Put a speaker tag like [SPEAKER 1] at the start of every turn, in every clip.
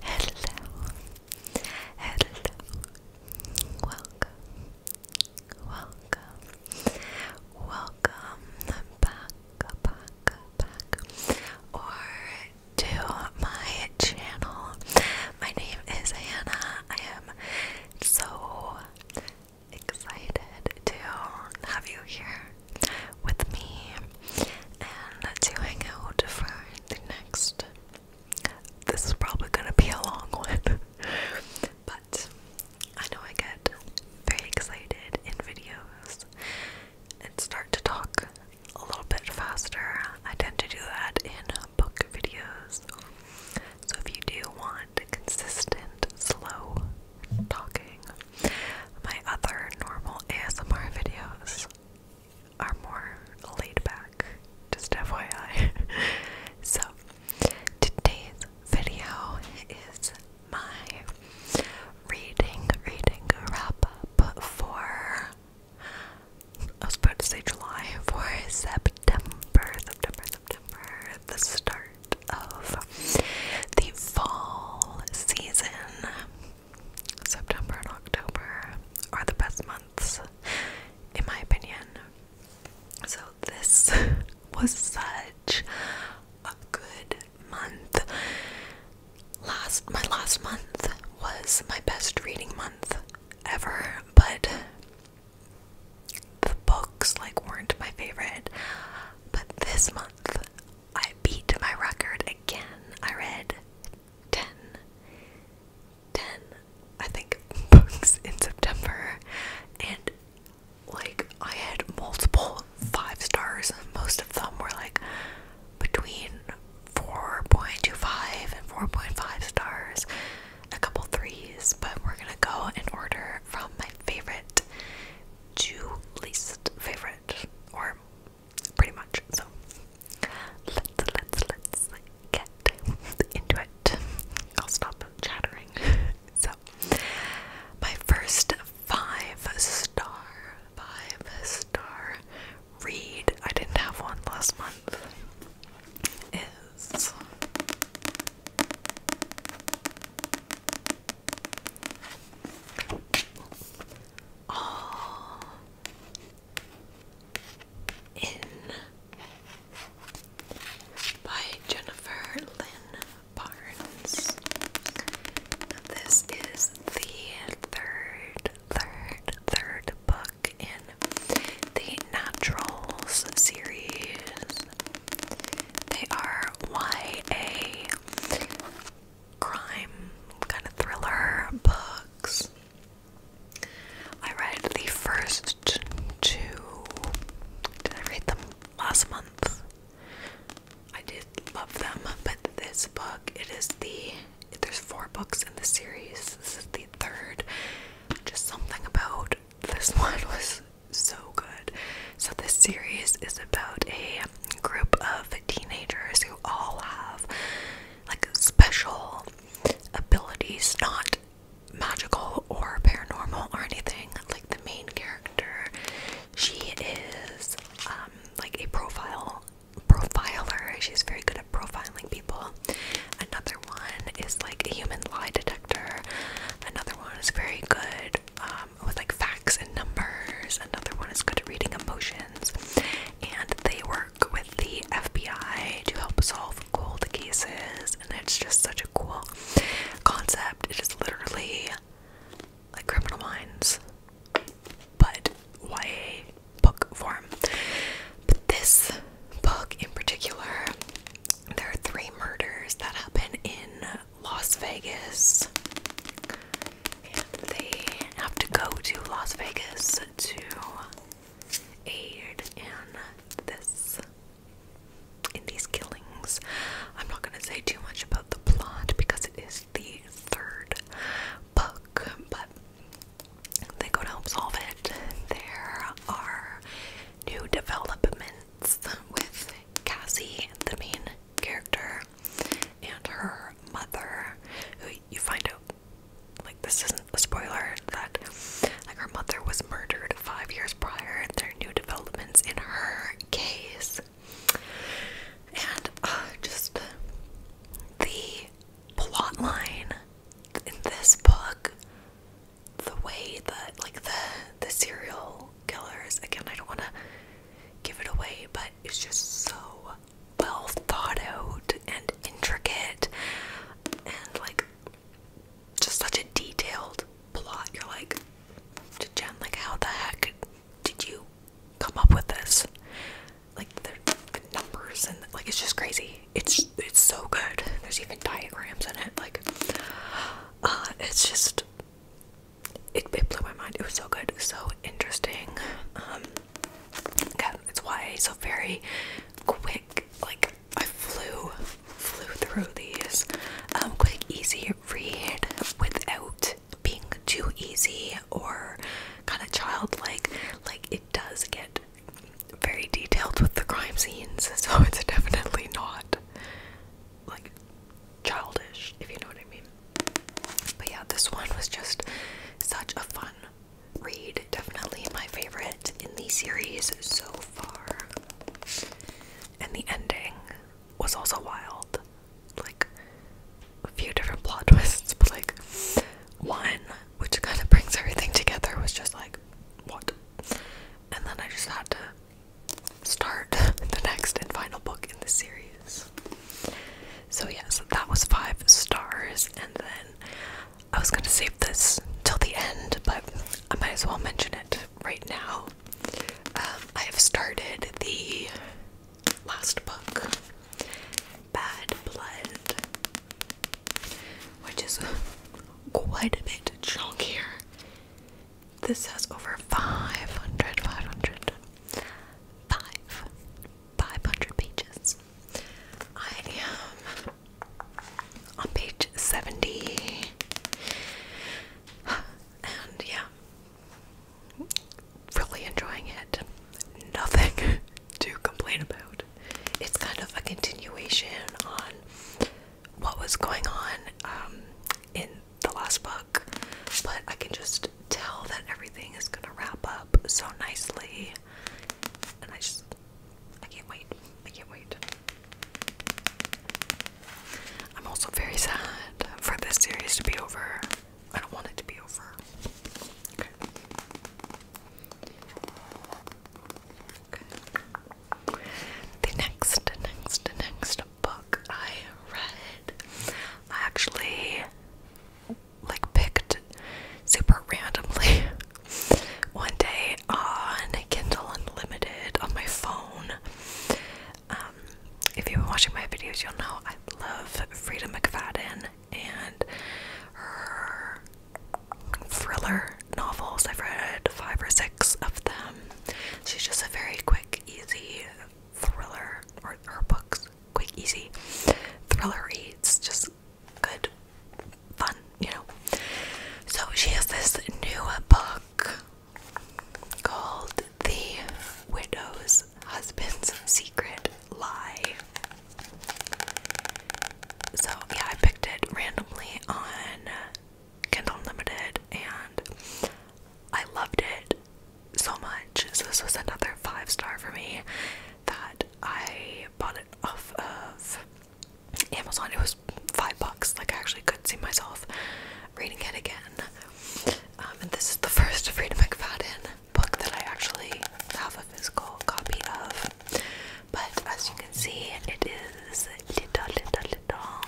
[SPEAKER 1] Hello, hello, welcome, welcome, welcome back, back, back, or to my channel. My name is Anna. I am so excited to have you here with me and to hang out for the next. This is probably gonna be a long one, but I know I get very excited in videos and start to talk a little bit faster. I tend to do that in book videos. So if you do want consistent, slow talking. My other normal ASMR videos are more laid back, just FYI. so, today's video is my reading, reading wrap up for. I was about to say July for September, September, September, the start of the fall season. September and October are the best months, in my opinion. So, this was such a good month. Last, my last month was my best reading month ever, but the books like weren't my favorite. But this month, I beat my record again. I read 10, I think, books in September, and like I had multiple five stars. Most of them were like between 4.25 and 4.5 stars, a couple threes, but we're gonna go in order from my favorite two least favorite, or pretty much. So let's let's let's get into it. I'll stop chattering. so my first five star, five star read. I didn't have one last month. Is all in by Jennifer Lynn Barnes. This is the third, third, third book in the Naturals series. They are YA crime kind of thriller books. I read the first two. Did I read them last month? I did love them, but this book, it is the there's four books in the series. This is the third. Just something about this one was so good. So, this series is about a group of teenagers who all have like special abilities, not magical or paranormal or anything. Like, the main character, she is um, like a profile profiler, she's very good at profiling people. Another one is like a human lie detector, another one is very good. Um, um, with like facts and numbers. Another one is good at reading emotions. And they work with the FBI to help solve cold cases. And it's just such a cool concept. It is literally like Criminal Minds, but YA book form. But this book in particular, there are three murders that happen in Las Vegas. And they have to go to Las Vegas to aid in this in these killings. I'm not gonna say too much about the plot because it is the third book, but they go to help solve it. There are new developments with Cassie, the main character, and her mother, you find out like this isn't a spoiler that like her mother was murdered five years prior there are new developments in her case. And uh, just the plot in this book, the way that like the the serial killers. Again, I don't want to give it away, but it's just so well thought out and intricate and like just such a detailed plot. You're like, Jen, like, how the heck did you come up with this? Like, the, numbers and like, it's just crazy. It's it's so good. There's even diagrams in it. Like, uh, it's just it, blew my mind. It was so good, so interesting. Um, again, it's YA, so very quick. Like I flew, flew through these. Um, quick, easy read without being too easy or kind of childlike. Like it does get very detailed with the crime scenes, so it's definitely not like childish, if you know what I mean. But yeah, this one was just such a fun read. Definitely my favorite in the series so far. And the ending was also wild. Like, a few different plot twists, but like, one, which kind of brings everything together, was just like, what? And then I just had to start the next and final book in the series. So, yes, that was five stars, and then I was gonna save this till the end, but I might as well mention it right now. Um, I have started the last book, Bad Blood, which is quite a bit chunkier this has over 500, 500, pages. I am on page 70. And yeah, really enjoying it. Nothing to complain about. It's kind of a continuation on what was going on um, in the last book, but I can just tell that everything is gonna wrap up so nicely. And I just, I can't wait. I can't wait. I'm also very sad for this series to be over. I don't want it to be over. Okay. Okay. The next, next, next book I read. actually like picked super randomly one day on Kindle Unlimited on my phone. Um, if you've been watching my videos, you'll know I love Frida McFadden and her thriller novels. I've read five or six of them. She's just a very quick easy thriller, or books, quick, easy thriller reads, just good, fun, you know. So she has this new book called The Widow's Husband's Secret Lie. So, yeah, I picked it randomly on Kindle Unlimited, and I loved it so much. So this was another five star for me that I bought it off of Amazon. It was five bucks. Like I actually could see myself reading it again. Um, and this is the first Freedom McFadden book that I actually have a physical copy of. But as you can see, it is little, little, little.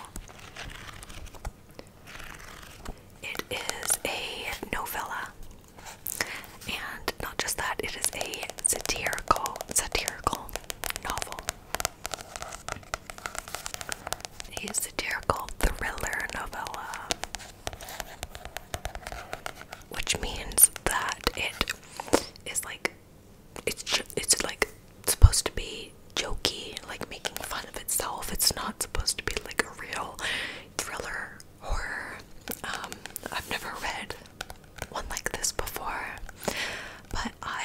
[SPEAKER 1] It is a novella. And not just that, it is a satirical satirical novel. A satirical thriller novella. Which means that it is like it's it's like supposed to be jokey, like making fun of itself. It's not supposed to be like a real thriller horror. Um, I've never read one like this before, but I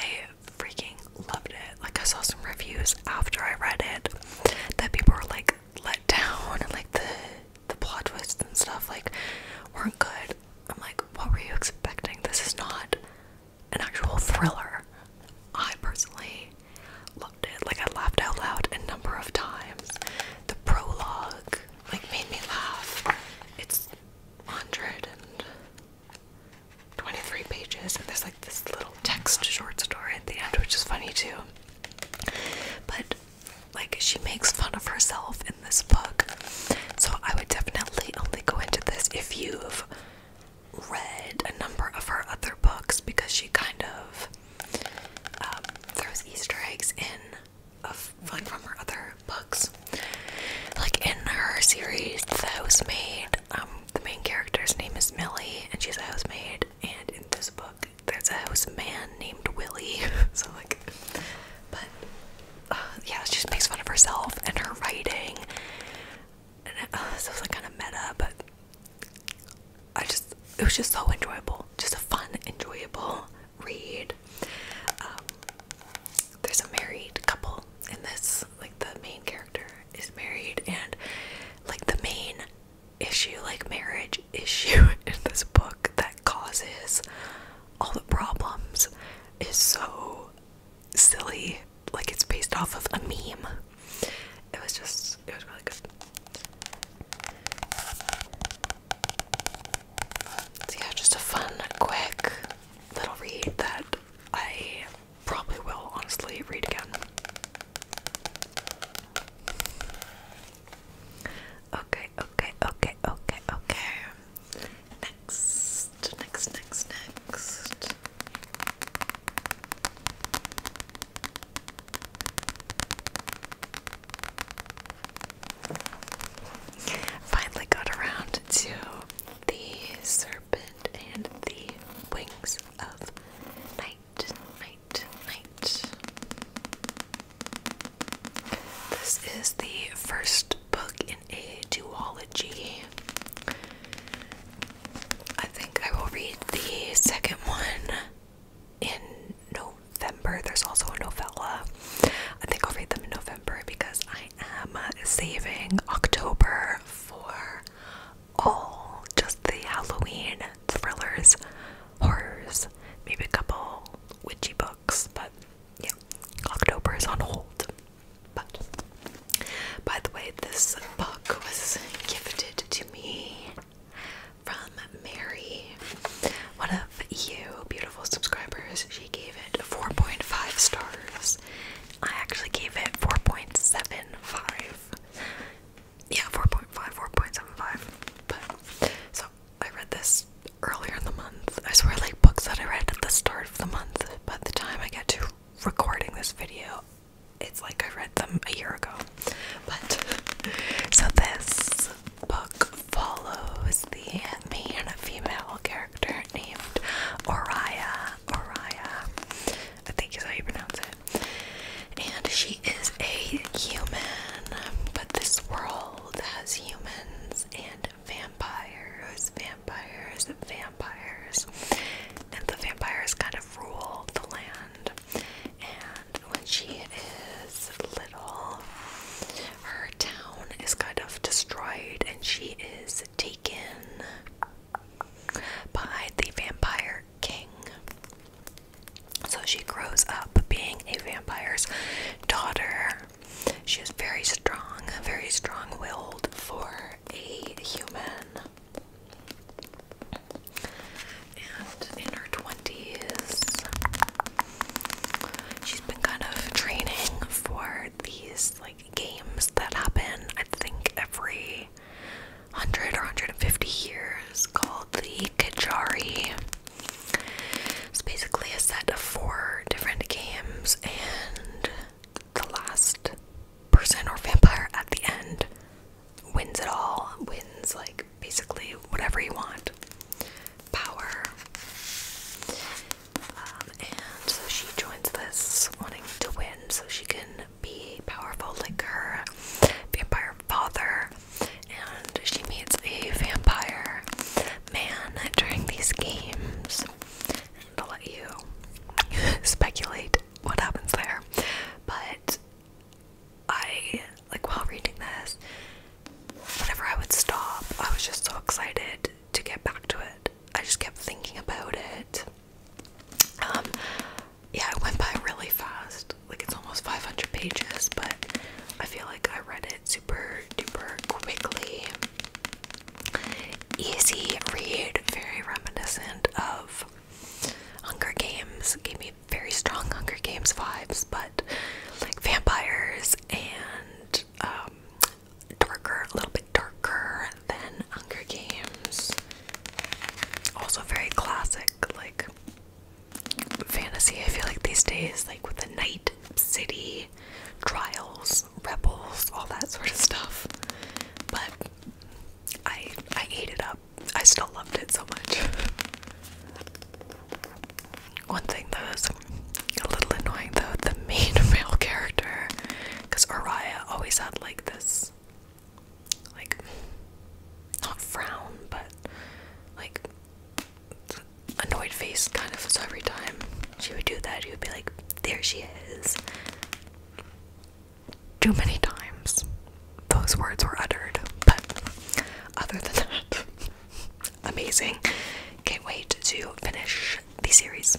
[SPEAKER 1] freaking loved it. Like, I saw some reviews after I read it that people were like let down and like the the plot twists and stuff like weren't good. I'm like, what were you expecting? This is not an actual thriller. I personally loved it. Like I laughed out loud a number of times. The prologue like made me laugh. It's 123 pages and there's like this little text short story at the end which is funny too. But like she makes fun of herself in this book. So I would definitely only go into this if you've read a number of her other books because she kind of um, throws Easter eggs in of fun from her other books. Like in her series, The Housemaid, um, the main character's name is Millie, and she's a housemaid. And in this book, there's a houseman named Willie. so like, but uh, yeah, she makes fun of herself and her writing and it, uh, was like kind of meta, but I just it was just so enjoyable, just a fun, enjoyable read. Um, there's a married couple in this, like the main character is married, and like the main issue, like marriage issue in this book that causes all the problems, is so silly, like it's based off of a meme. It was just, it was really good. So, yeah, just a fun, quick little read that I probably will honestly read again. Okay, okay, okay, okay, okay. Next, next, next, next. Finally got around to the serpent and the wings of night, night, night. This is the first book a duology. I think I will read the second one in November. There's also a novella. I think I'll read them in November because I am saving October for all just the Halloween thrillers, horrors, maybe a couple witchy books, but yeah, October is on hold. But by the way, this book was gifted to me from Mary, one of you beautiful subscribers. She gave it 4.5 stars. I actually gave it 4.75. Yeah, 4.5, 4.75. so I read this earlier in the month. I swear, like books that I read at the start of the month. By the time I get to recording this video. It's like I read them a year ago. But so this book follows the me and a female character named Oriah. Oriah. I think is how you pronounce it. And she is a human, but this world has humans and vampires, vampires, vampires and the vampires kind of rule the land. And when she is little, her town is kind of destroyed, and she is taken by the vampire king. So she grows up being a vampire's daughter. She is very strong, very strong willed for a human and in her 20s. She's been kind of training for these like games that happen, I think, every 100 or 150 years called the Kajari. It's basically a set of four different games, and the last person or vampire at the end wins it all, wins like basically whatever you want power. Um, and so she joins this wanting to win so she can be powerful like her vampire father. And she meets a vampire man during these games i let you speculate what happens there. But I, like, while reading this, whenever I would stop, I was just so excited to get back to it. I just kept thinking about it. Um, yeah, it went by really fast. Like, it's almost 500 pages, but I feel like I read it super duper quickly. Easy read, very reminiscent of Hunger Games. Gave me very strong Hunger Games vibes, but like vampires and um, darker, a little bit darker than Hunger Games. Also very classic, like fantasy. I feel like these days, like with the night city trials, rebels, all that sort of stuff. But I I ate it up. I still loved it so much. One thing that was a little annoying though, the main male character, because Araya always had like this, like, not frown, but like, annoyed face kind of. So every time she would do that, he would be like, There she is too many times those words were uttered, but other than that, amazing. Can't wait to finish the series.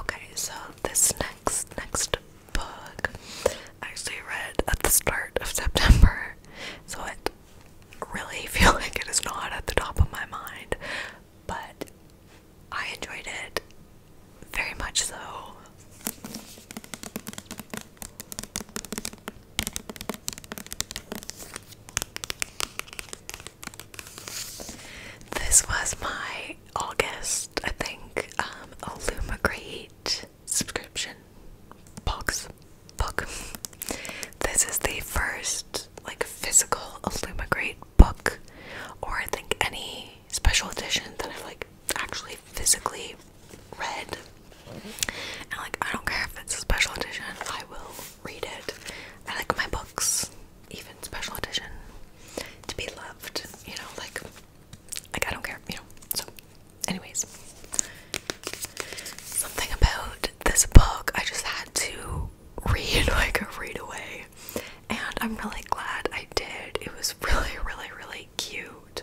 [SPEAKER 1] Okay, so this next next book I actually read at the start of September, so it really feel like it is not at the top of my mind, but I enjoyed it very much so. This was my August, I think, um, Illumigreat subscription box book. This is the first like physical Illumigreat book, or I think any special edition that I've like actually physically read. And like I don't care if it's a special edition, I will read it. I like my books, even special edition, to be loved, you know, like like I don't care, you know. So anyways. Something about this book I just had to read like a read away and I'm really glad I did. It was really really really cute.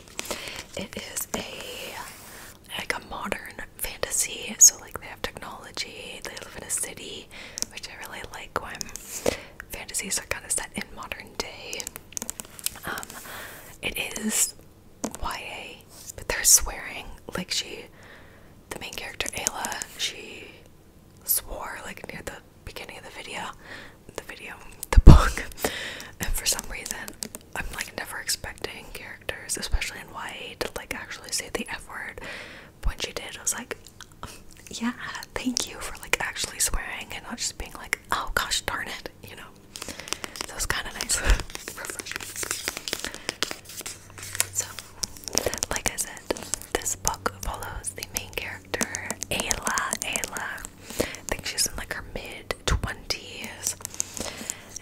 [SPEAKER 1] It is a like a modern fantasy so like they have technology, they live in a city which I really like when fantasies are kind of set in modern day. Um it is YA but they're swearing like she the main character Ayla she swore like near the beginning of the video, the video, the book. And for some reason, I'm like never expecting characters, especially in YA, to like actually say the F word. But when she did, I was like, yeah, thank you for like actually swearing and not just being like, oh gosh darn it, you know. So it's kind of nice, So, like I said, this book follows the main character, Ayla. Ayla, I think she's in like her mid 20s,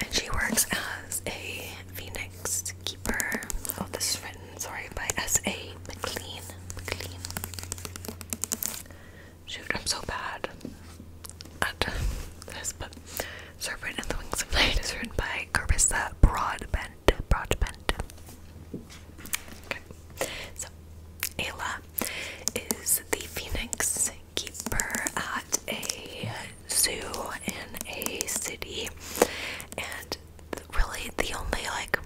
[SPEAKER 1] and she works as a Phoenix keeper. Oh, this is written, sorry, by S.A. McLean. McLean. Shoot, I'm so bad at this, but Serpent and the Wings of Night is written by Carissa Broadbent broadbent. So, Ayla is the phoenix keeper at a zoo in a city, and really the only like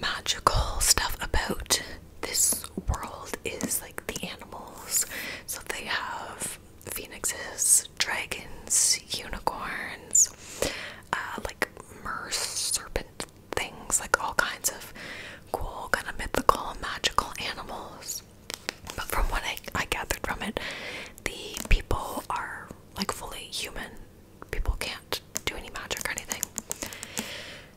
[SPEAKER 1] magical stuff about this world is like the animals. So they have phoenixes, dragons, unicorns, uh, like merse serpent things, like all kinds of cool, kind of mythical, magical animals. But from what I, I gathered from it, the people are like fully human. People can't do any magic or anything.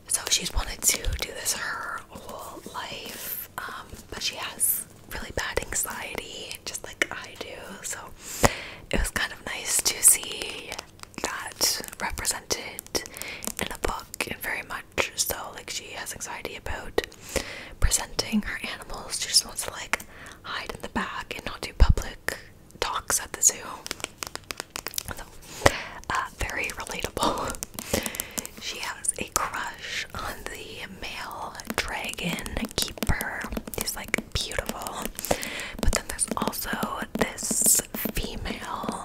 [SPEAKER 1] So she's wanted to do this her whole life, um, but she has really bad anxiety, just like I do. So it was kind of nice to see that represented in a book and very much so like she has anxiety about presenting her animals she just wants to like hide in the back and not do public talks at the zoo so, uh, very relatable she has a crush on the male dragon keeper he's like beautiful. But then there's also this female.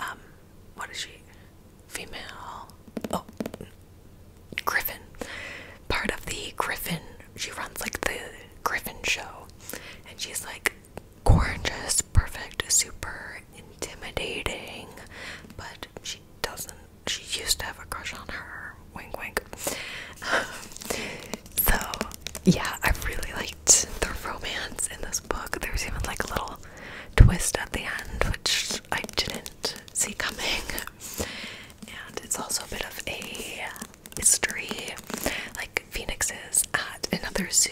[SPEAKER 1] Um, what is she? Female. Oh, Griffin. Part of the Griffin. She runs like the Griffin show, and she's like gorgeous, perfect, super intimidating, but she doesn't. She used to have a crush on her, Wink, wink. so, yeah, I really liked the romance in this book. There was even like a little twist at the end, which I didn't see coming. And it's also a bit of a mystery. Like, phoenixes at another zoo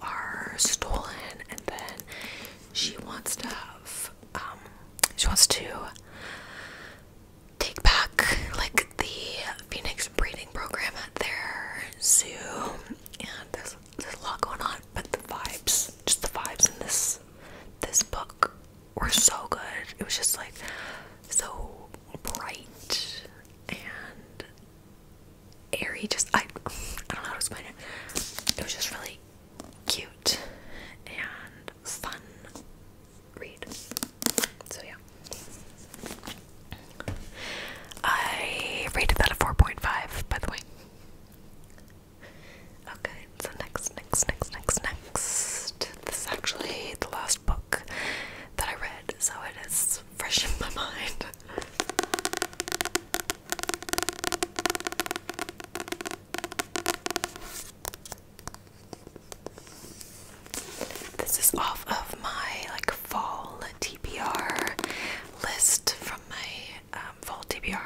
[SPEAKER 1] are stolen, and then she wants to have, um, she wants to take back like the Phoenix breeding program at their zoo. And there's there's a lot going on, but the vibes, just the vibes in this this book were so good. It was just like so bright and airy. Just I I don't know how to explain it. It was just really cute and fun read. So yeah. I rated that a 4.5, by the way. Okay, so next, next, next, next, next. This is actually the last book that I read, so it is fresh in my mind. This is off of my like fall TBR list from my um, fall TBR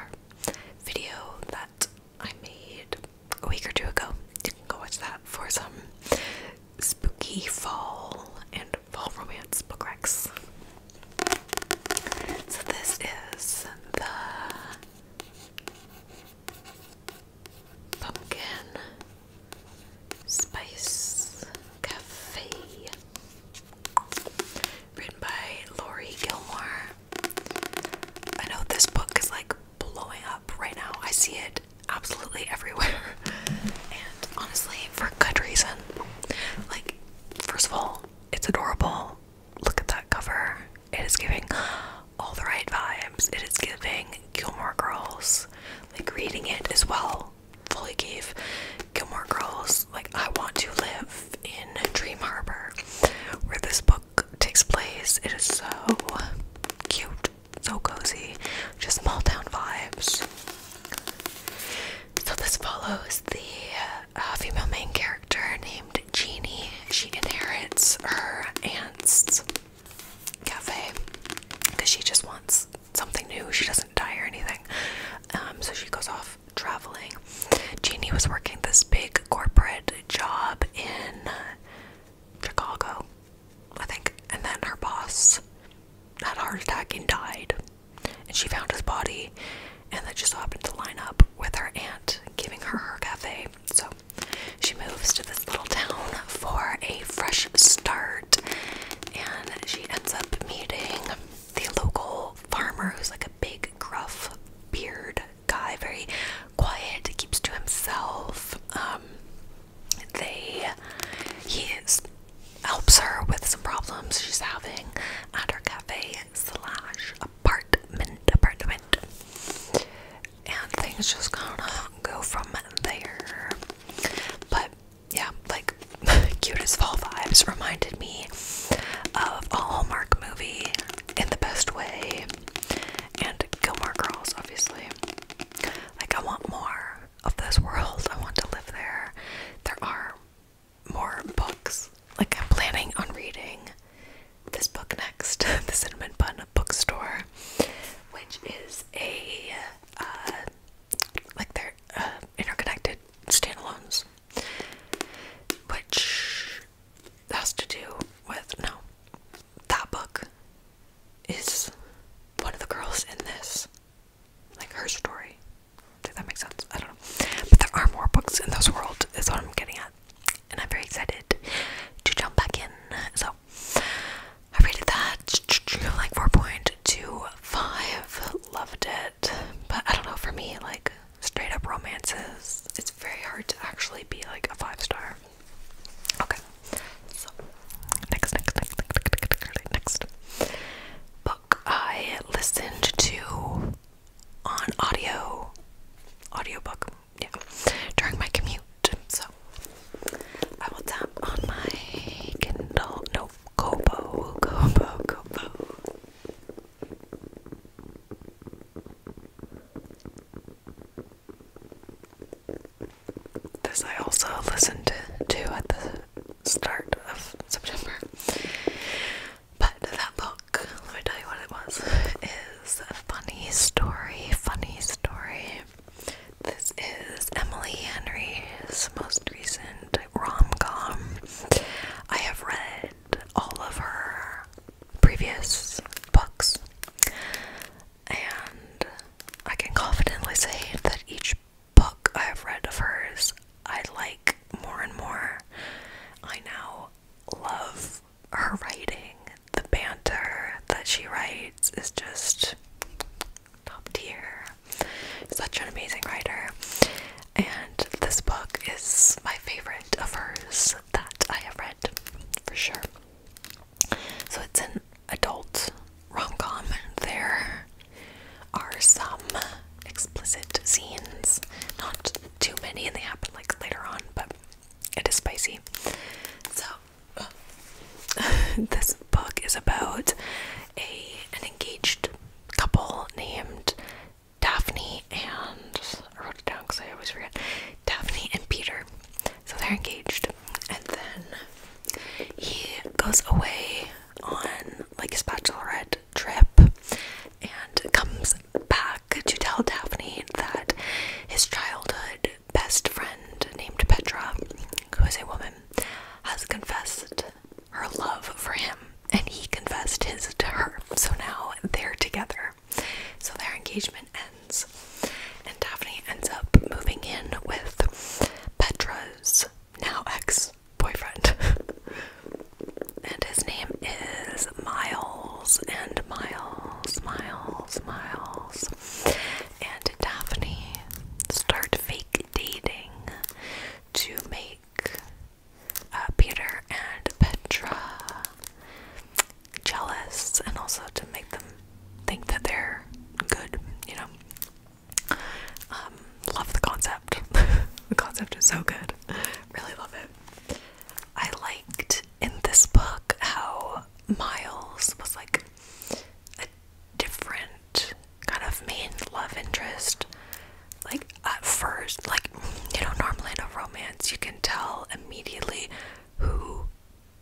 [SPEAKER 1] video that I made a week or two ago. You can go watch that for some spooky fall and fall romance book recs. So this is the pumpkin, spice cafe, written by Lori Gilmore. I know this book is like blowing up right now. I see it absolutely everywhere, and honestly, for good reason. Like, first of all, it's adorable. Look at that cover. It is giving all the right vibes. It is giving Gilmore Girls. Like reading it as well fully gave Gilmore Girls like I want to live in Dream Harbor where this book takes place. It is so cute, so cozy, just small town vibes. So this follows the uh, female main character named Jeannie. She inherits her aunt's cafe because she just wants something new. She doesn't die or anything. Um, so she goes off traveling. Jeannie was working this big corporate job in uh, Chicago, I think, and then her boss had a heart attack and died. And she found his body, and that just happened to line up with her aunt giving her her cafe. So she moves to this little town for a fresh start, and she ends up meeting the local farmer who's like a big, gruff, beard guy, very quiet, keeps to himself. Um, they he helps her with some problems she's having at her cafe slash apartment apartment and things just kind of go from there. But yeah, like cutest as fall vibes reminded me of a Hallmark movie in the best way, and Gilmore Girls, obviously. Like I want more of this world. I want to live there. There are more books. Like I'm planning on reading this book next, the Cinnamon Bun Bookstore, which is a uh, like they're uh, interconnected standalones, which has to do with no, that book is one of the girls in this, like her story. If that makes sense? I don't know, but there are more books in this world. Is what I'm getting at. And I'm very excited to jump back in. So I rated that like 4.25. Loved it. But I don't know, for me, like straight up romances, it's very hard to actually be like a five star. Okay. So next, next, next book I listened to on audio audiobook yeah, during my commute. So I will tap on my Kindle. No, Kobo, Kobo, Kobo. This I also listened to at the start of September. But that book, let me tell you what it was, is a funny story, funny story. This is Emily Henry's most recent rom com. I have read all of her previous books, and I can confidently say that each book I have read of hers I like more and more. I now love her writing, the banter that she writes is just top tier. Such an amazing writer. And this book is my favorite of hers that I have read for sure. So it's an adult rom com. There are some explicit scenes, not too many, and they happen like later on, but it is spicy. So this book is about a an engaged couple named Daphne and I wrote it down because I always forget Daphne and Peter. So they're engaged, and then he goes away on like his bachelorette trip and comes back could you tell Daphne that his childhood best friend named Petra, who is a woman, has confessed her love for him and he confessed his to her. So now they're together. So their engagement ends. And Daphne ends up moving in with Petra's now ex boyfriend. and his name is Miles and Miles, Miles, Miles. And Daphne start fake dating to make uh, Peter and Petra jealous and also to make them think that they're good, you know. Um, love the concept. the concept is so good. Really love it. I liked in this book how Miles was like a different kind of main love interest. Like at first, like you know, normally in a romance, you can tell immediately who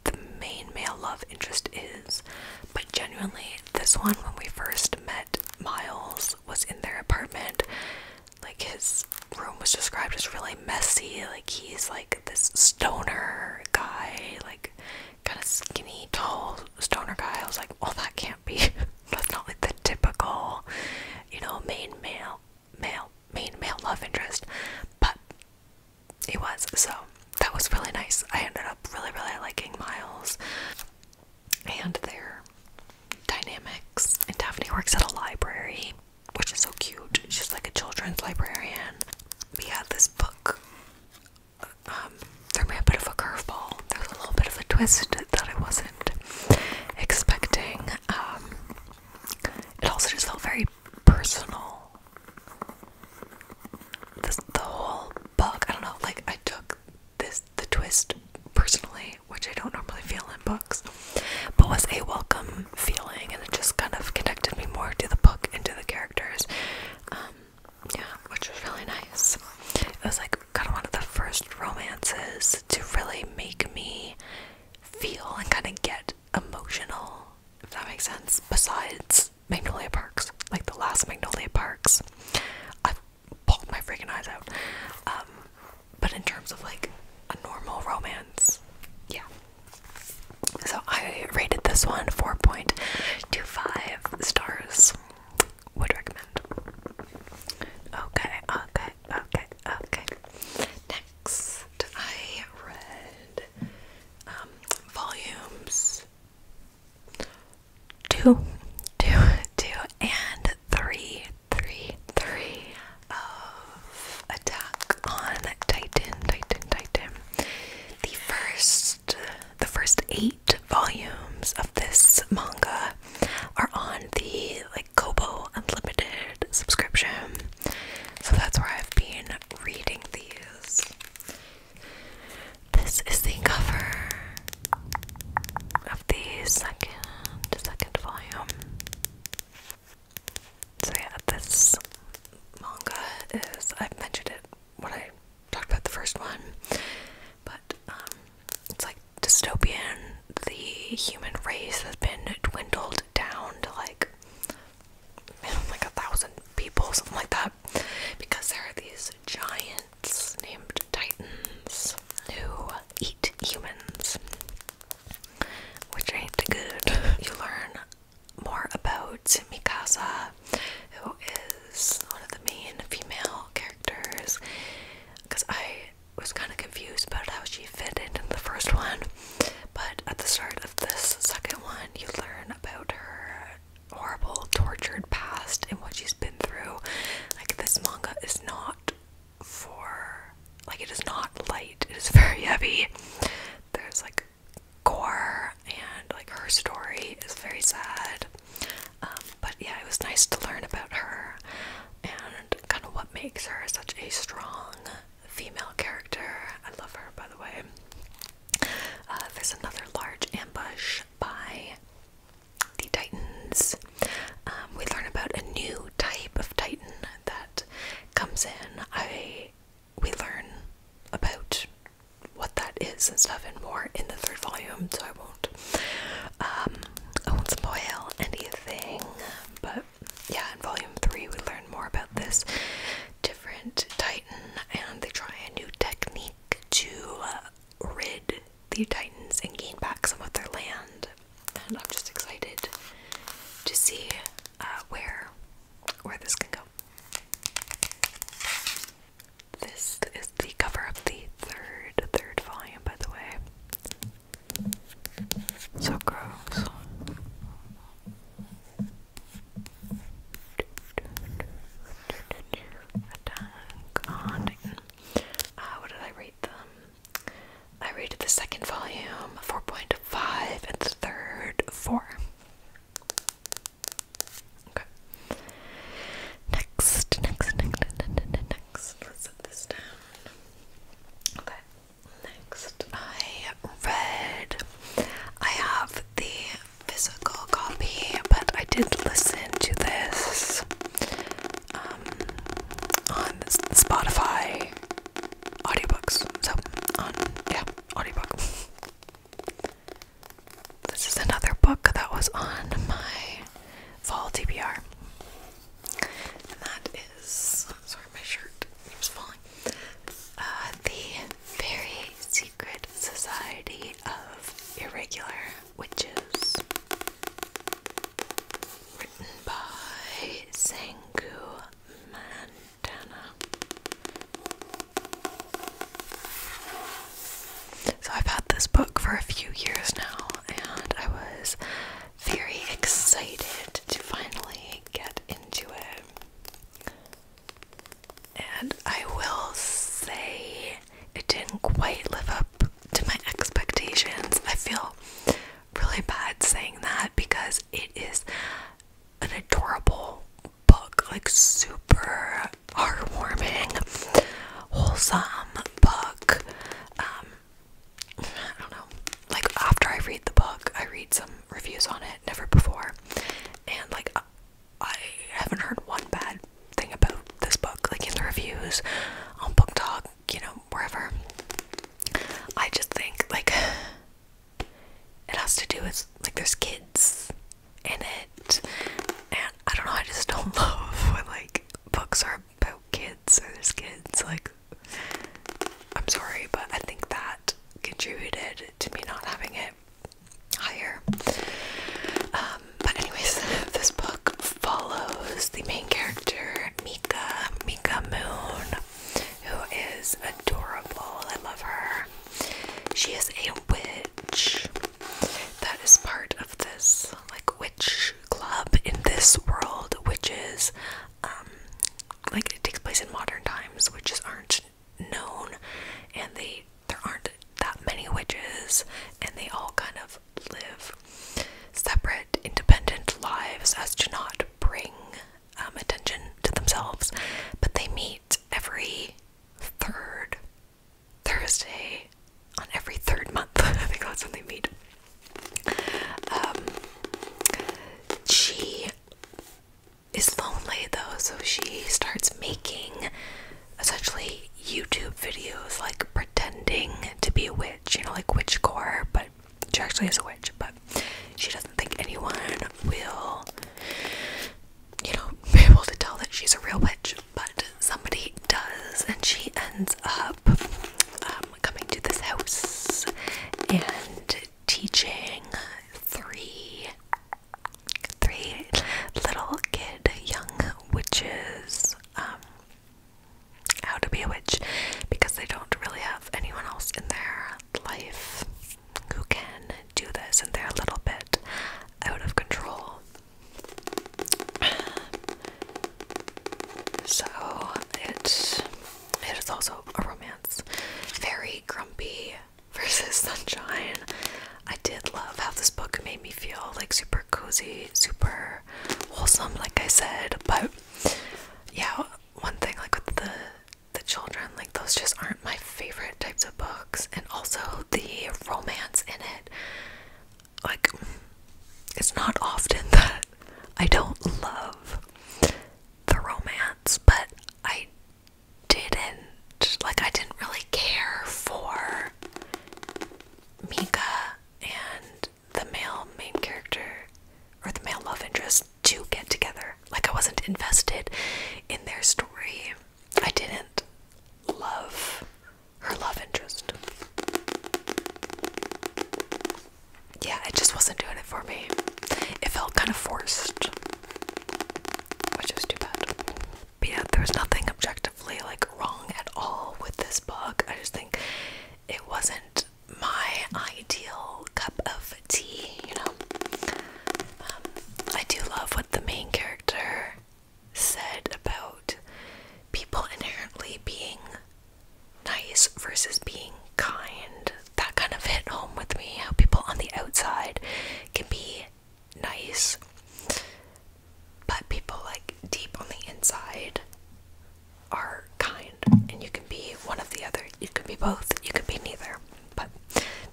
[SPEAKER 1] the main male love interest is. But genuinely, this one, when we first met Miles, was in their apartment. Like his room was described as really messy. Like he's like this stoner guy, like kind of skinny, tall stoner guy. I was like, well, that can't be. That's not like the typical, you know, main male, male, main male love interest. But it was so that was really nice. I ended up really, really liking Miles and their dynamics. And Daphne works at a library which is so cute. She's like a children's librarian. We had this book. Um, there may be a bit of a curveball. There's a little bit of a twist that I wasn't expecting. Um, it also just felt very personal. the whole book, I don't know, like I took this the twist personally, which I don't normally feel in books but was a welcome feeling, and it just kind of connected me more to the book and to the characters. Um, yeah, which was really nice. It was like kind of one of the first romances to really make me feel and kind of get emotional, if that makes sense. Besides Magnolia Parks, like the last Magnolia Parks, I've pulled my freaking eyes out. Um, but in terms of like a normal romance, yeah, so I rated this one 4.25 stars. Would recommend. Okay, okay, okay, okay. Next, I read um, volumes two, two, two, and three, three, three of Attack on Titan, Titan, Titan. The first, the first eight volumes of this manga are on the like Kobo Unlimited subscription, so that's where I've been reading these. This is the cover of the second, second volume. So yeah, this manga is I've mentioned it when I talked about the first one, but um, it's like dystopian. The human race has been dwindled down to like you know, like a thousand people, something like that, because there are these giants named Titans who eat humans which ain't good. You learn more about Mikasa, who is one of the main female characters, because I was kind of confused about how she fit into the first one. But at the start of this second one, you learn about her horrible, tortured past and what she's been through. Like, this manga is not for like it is not light, it is very heavy. There's like gore and like her story is very sad. Um, but yeah, it was nice to learn about her and kind of what makes her such a strong female character. I love her, by the way. Uh, there's another large ambush by the Titans. Um, we learn about a new type of Titan that comes in, I we learn about what that is and stuff and more in the third volume, so I won't um, I won't spoil anything. But yeah, in volume three we learn more about this different Titan and they try a new technique to uh, rid the Titans and gain back some of their land and I'm just excited to see uh, where where this can go. This is the cover of the third third volume, by the way. So gross. Uh, what did I rate them? I rated the second volume 4.5 and the third 4. Okay. Next, next, next, next, next. Let's set this down. Okay. Next, I read. I have the physical copy, but I did listen to this um, on Spotify audiobooks. So, yeah, audiobook. This is another book that was on my fall TBR. And that is, sorry, my shirt was falling. Uh, the Very Secret Society of Irregular Witches. Written by Sangu so I've had this book for a few years now, and I was very excited to finally get into it. And I will say it didn't quite live up to my expectations. I feel really bad saying that because it is an adorable book, like super heartwarming, wholesome book. Um, I don't know. Like after I read the book, I read some reviews on it, never before, and like I, I haven't heard one bad thing about this book. Like in the reviews on Book Talk, you know, wherever. I just think like it has to do with like there's kids in it, and I don't know. I just don't love when like books are about kids or there's kids. Like, I'm sorry, but I think that contributed to me not having it higher. Um, but anyways, this book follows the main character Mika Mika Moon who is adorable. I love her. She is a witch that is part of this like witch club in this world, which is um like it takes place in modern times, witches aren't known and they there aren't that many witches and they all kind of live separate independent lives as to not bring um, attention to themselves, but they meet every third Thursday on every third month. I think that's when they meet. Um, she is lonely though, so she starts making essentially YouTube videos like pretending to be a witch, you know, like witchcore, but she actually is a witch, but she doesn't think anyone will, you know, be able to tell that she's a real witch. But somebody does, and she ends up um, coming to this house and teaching three, three little kid young witches. Um, how to be a witch because they don't really have anyone else in their life who can do this and they're a little bit out of control. So it's it is also a romance. Very grumpy versus sunshine. I did love how this book made me feel like super cozy, super wholesome, like I said, but yeah, one thing like with the the children, like those just aren't my favorite types of books, and also the romance in it. Like, it's not often that I don't love the romance, but I didn't. Like, I didn't really care for Mika and the male main character or the male love interest to get together. Like I wasn't invested in their story. I didn't love her love interest. Yeah, it just wasn't doing it for me. It felt kind of forced, which is too bad. But yeah, there was nothing objectively like wrong at all with this book. I just think it wasn't my ideal cup of tea, you know. Um, I do love what the main character said about people inherently being nice versus being kind. That kind of hit home with me how people on the outside can be nice, but people like deep on the inside are kind and you can be one of the other you can be both you can be neither but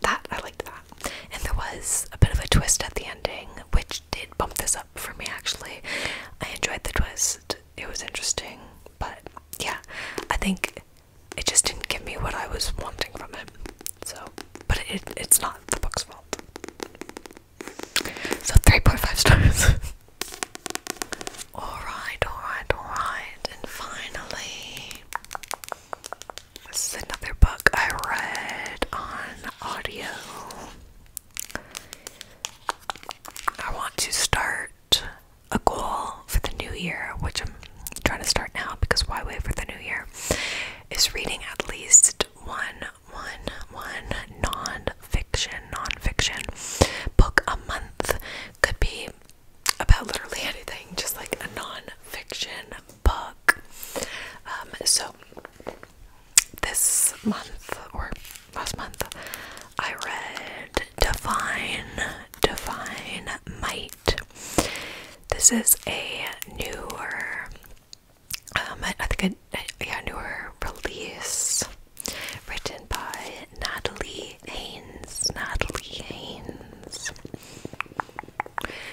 [SPEAKER 1] that i liked that and there was a bit of a twist at the ending which did bump this up for me actually i enjoyed the twist it was interesting but yeah i think it just didn't give me what i was wanting from it so but it's not the book's fault so 3.5 stars Alright, alright, alright. And finally, this is another book I read on audio. I want to start a goal for the new year, which I'm trying to start now because why wait for the new year? Is reading at least one, one, one non fiction, non fiction book a month could be about literally anything, just like a non-fiction book. Um, so this month or last month, I read Divine, Divine Might. This is a newer, um, I, think a, a newer release written by Natalie Haynes. Natalie Haynes.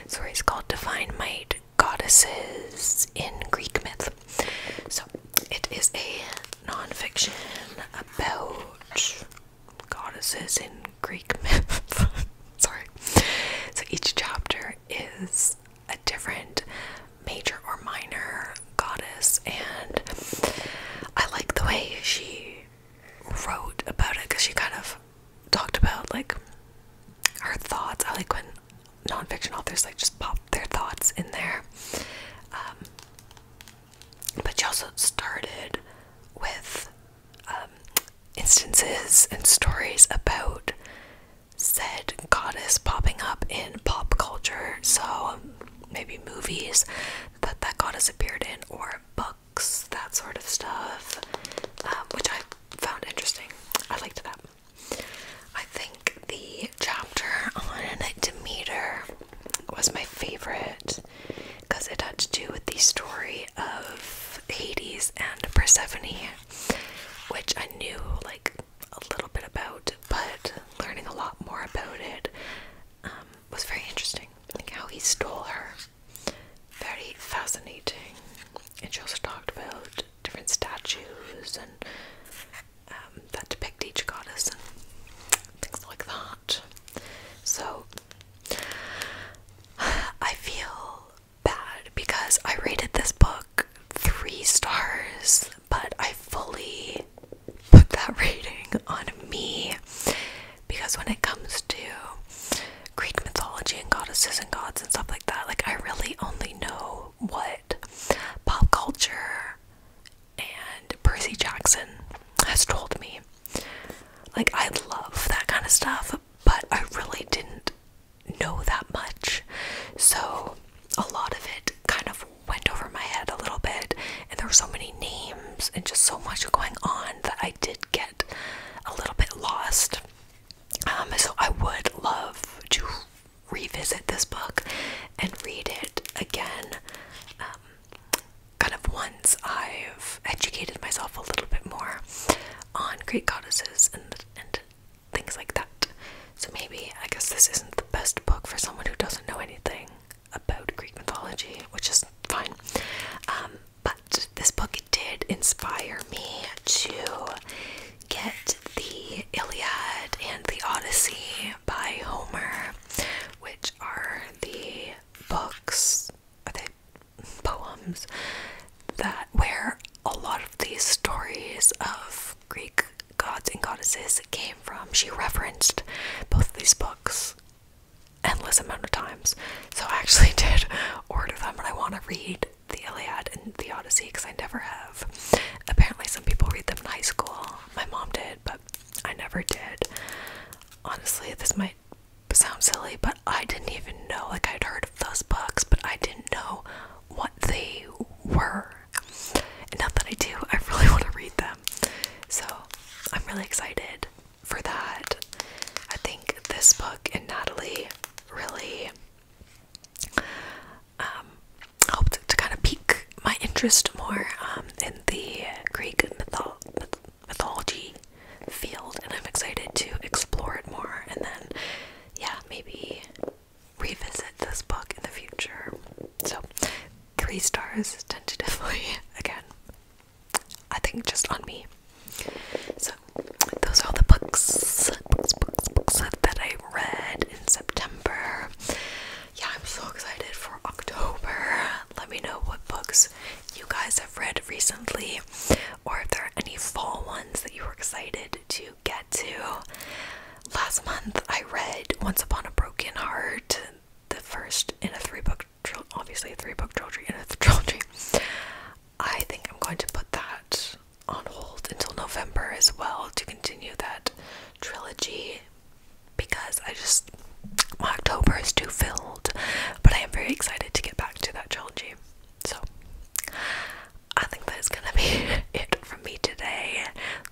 [SPEAKER 1] Story is called Divine Might Goddesses in Greek Myth. So it is a nonfiction about goddesses in Greek myth. Sorry. So each chapter is a different major or minor goddess, and I like the way she wrote about it because she kind of talked about like her thoughts. I like when nonfiction authors like just pop their thoughts in there. Um, but she also started with um, instances and stories about said goddess popping up in pop culture, so um, maybe movies, that that goddess appeared in, or books, that sort of stuff, um, which I found interesting. I liked that. I think the chapter on Demeter was my favorite because it had to do with the story of Hades and Persephone, which I knew like a little bit about, but learning a lot more about it um, was very interesting. Like how he stole her. Very fascinating. And she also talked about different statues and um, that depict each goddess and things like that. So I feel bad because I rated this book three stars, but I fully put that rating on me because when it comes to Greek mythology and goddesses and gods and stuff like that, like I really only know what pop culture and Percy Jackson has told me. Like, I love that kind of stuff, but I really didn't know that much. So, a lot of it kind of went over my head a little bit, and there were so many names and just so much going on that I did get a little bit lost. Um, so I would love to revisit this book and read it again, um, kind of once I've educated myself a little bit more on Greek goddesses and and things like that. So maybe I guess this isn't the best book for someone who doesn't know anything about Greek mythology, which is fine. Um, but this book did inspire me to get the Iliad and the Odyssey by Homer, which are the books, are they poems that where a lot of these stories of Greek gods and goddesses came from. She referenced both these books endless amount of times. So I actually did order them, but I want to read the Iliad and the Odyssey because I never have. Apparently, some people read them in high school. My mom did, but I never did. Honestly, this might sound silly, but I didn't even know. Like, I'd heard of those books, but I didn't know what they were. And now that I do, I really want to read them. So I'm really excited for that. I think this book and Natalie really um, helped to kind of pique my interest more um, in the Greek mythology field, and I'm excited to explore it more and then, yeah, maybe revisit this book in the future. So, three stars tentatively again. I think just on me. So, those are all the books, that I read in September. Yeah, I'm so excited for October. Let me know what books you guys have read recently, or if there are any fall ones that you were excited to get to. Last month, I read Once Upon a Broken Heart, the first in a three book trilogy, obviously a three book trilogy in a trilogy. I think I'm going to put that on hold until November as well to continue that trilogy because I just October is too filled, but I am very excited to get back to that trilogy. So I think that is gonna be it from me today.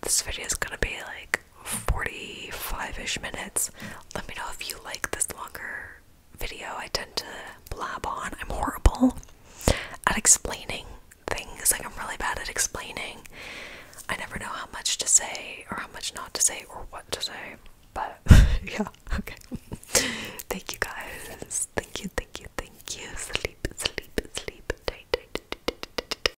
[SPEAKER 1] This video is gonna be like 45 ish minutes. Let me know if you like this longer video. I tend to blab on. I'm horrible at explaining things. Like, I'm really bad at explaining. I never know how much to say, or how much not to say, or what to say. But yeah, okay. thank you guys. Thank you, thank you, thank you. Sleep, sleep, sleep. Tight,